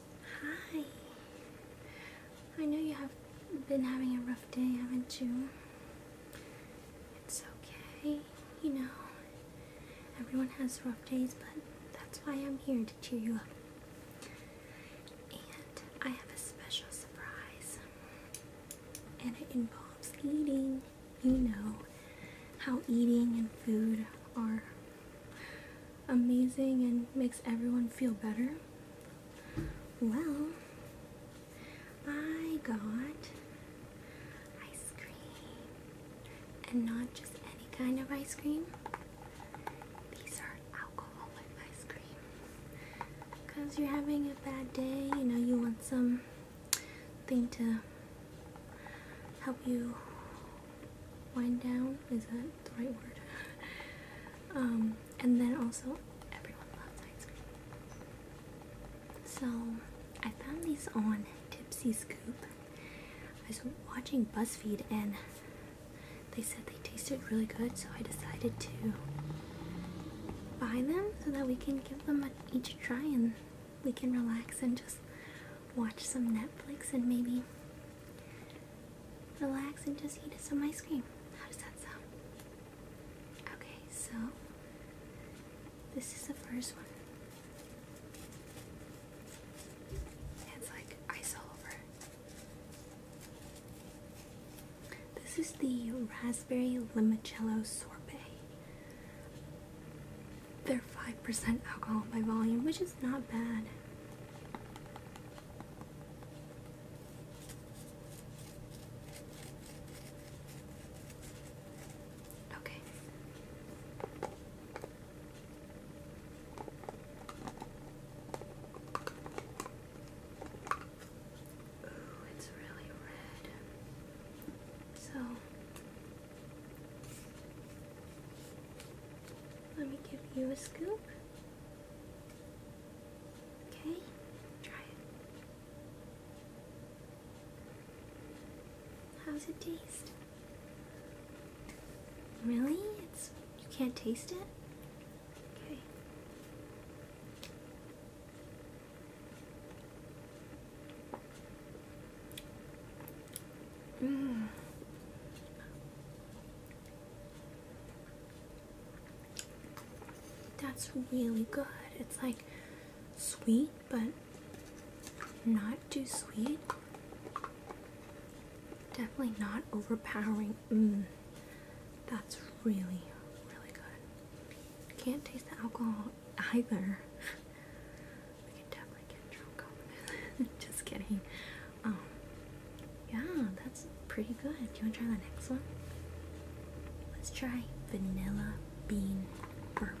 Hi. I know you have been having a rough day, haven't you? It's okay, you know. Everyone has rough days, but that's why I'm here to cheer you up. And I have a special surprise. And it involves eating. You know how eating and food are amazing and makes everyone feel better? Well, I got ice cream. And not just any kind of ice cream. These are alcoholic ice cream. Because you're having a bad day, you know, you want some thing to help you wind down is that the right word um, and then also everyone loves ice cream so I found these on Tipsy Scoop I was watching BuzzFeed and they said they tasted really good so I decided to buy them so that we can give them each a try and we can relax and just watch some Netflix and maybe relax and just eat some ice cream. How does that sound? Okay, so this is the first one. It's like ice all over. This is the raspberry limoncello sorbet. They're 5% alcohol by volume, which is not bad. Okay. Ooh, it's really red. So let me give you a scoop. Okay, try it. How's it taste? Really? It's you can't taste it? Okay. Mm. That's really good. It's like sweet, but not too sweet. Definitely not overpowering. Mm. That's really, really good. Can't taste the alcohol either. We can definitely get drunk over Just kidding. Um, yeah, that's pretty good. Do you want to try the next one? Let's try vanilla bean bourbon.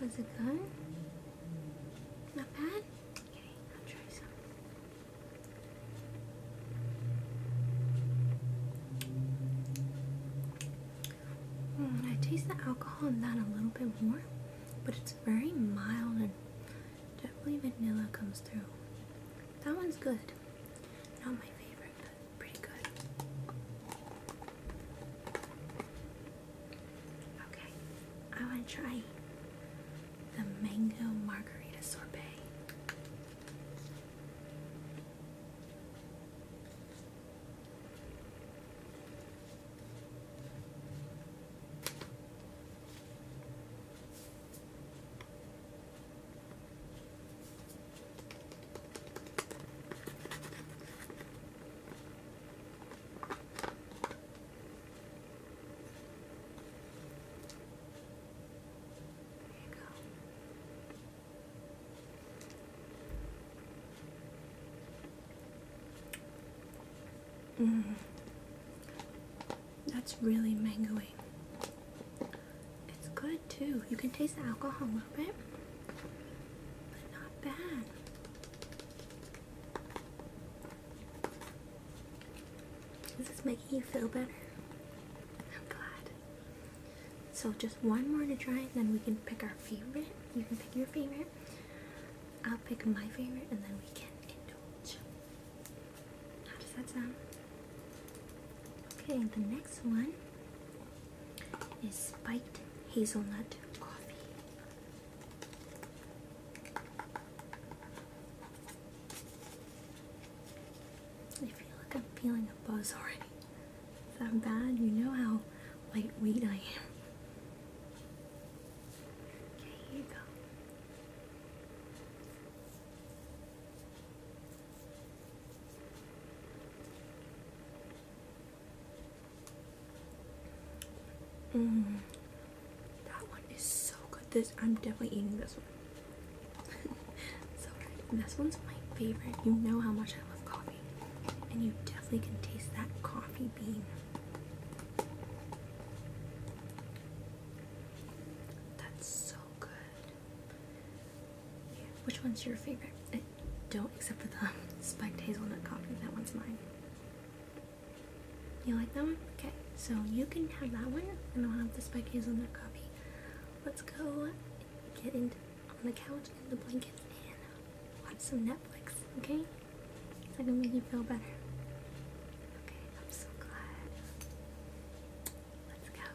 How's it going? Not bad? Okay, I'll try some. Mm, I taste the alcohol in that a little bit more, but it's very mild and definitely vanilla comes through. That one's good. Not my favorite, but pretty good. Okay, I want to try the mango margarita sorbet you go. Mm. That's really mangoey. It's good good too. You can taste the alcohol a little bit, but not bad. Is this making you feel better? I'm glad. So just one more to try, and then we can pick our favorite. You can pick your favorite. I'll pick my favorite, and then we can indulge. How does that sound? Okay, the next one is spiked hazelnut coffee. I feel like I'm feeling a buzz already. If I'm bad, you know how lightweight I am. here you go. Mm, that one is so good. This I'm definitely eating this one. so good. this one's my favorite. You know how much I love coffee. And you definitely can taste that coffee bean. That's so good. Which one's your favorite? don't, except for the spiked hazelnut coffee. That one's mine. You like that one? Okay, so you can have that one, and I'll have the spiked hazelnut coffee. Let's go get in on the couch and the blankets and watch some Netflix, okay? That can make you feel better. Okay, I'm so glad. Let's go.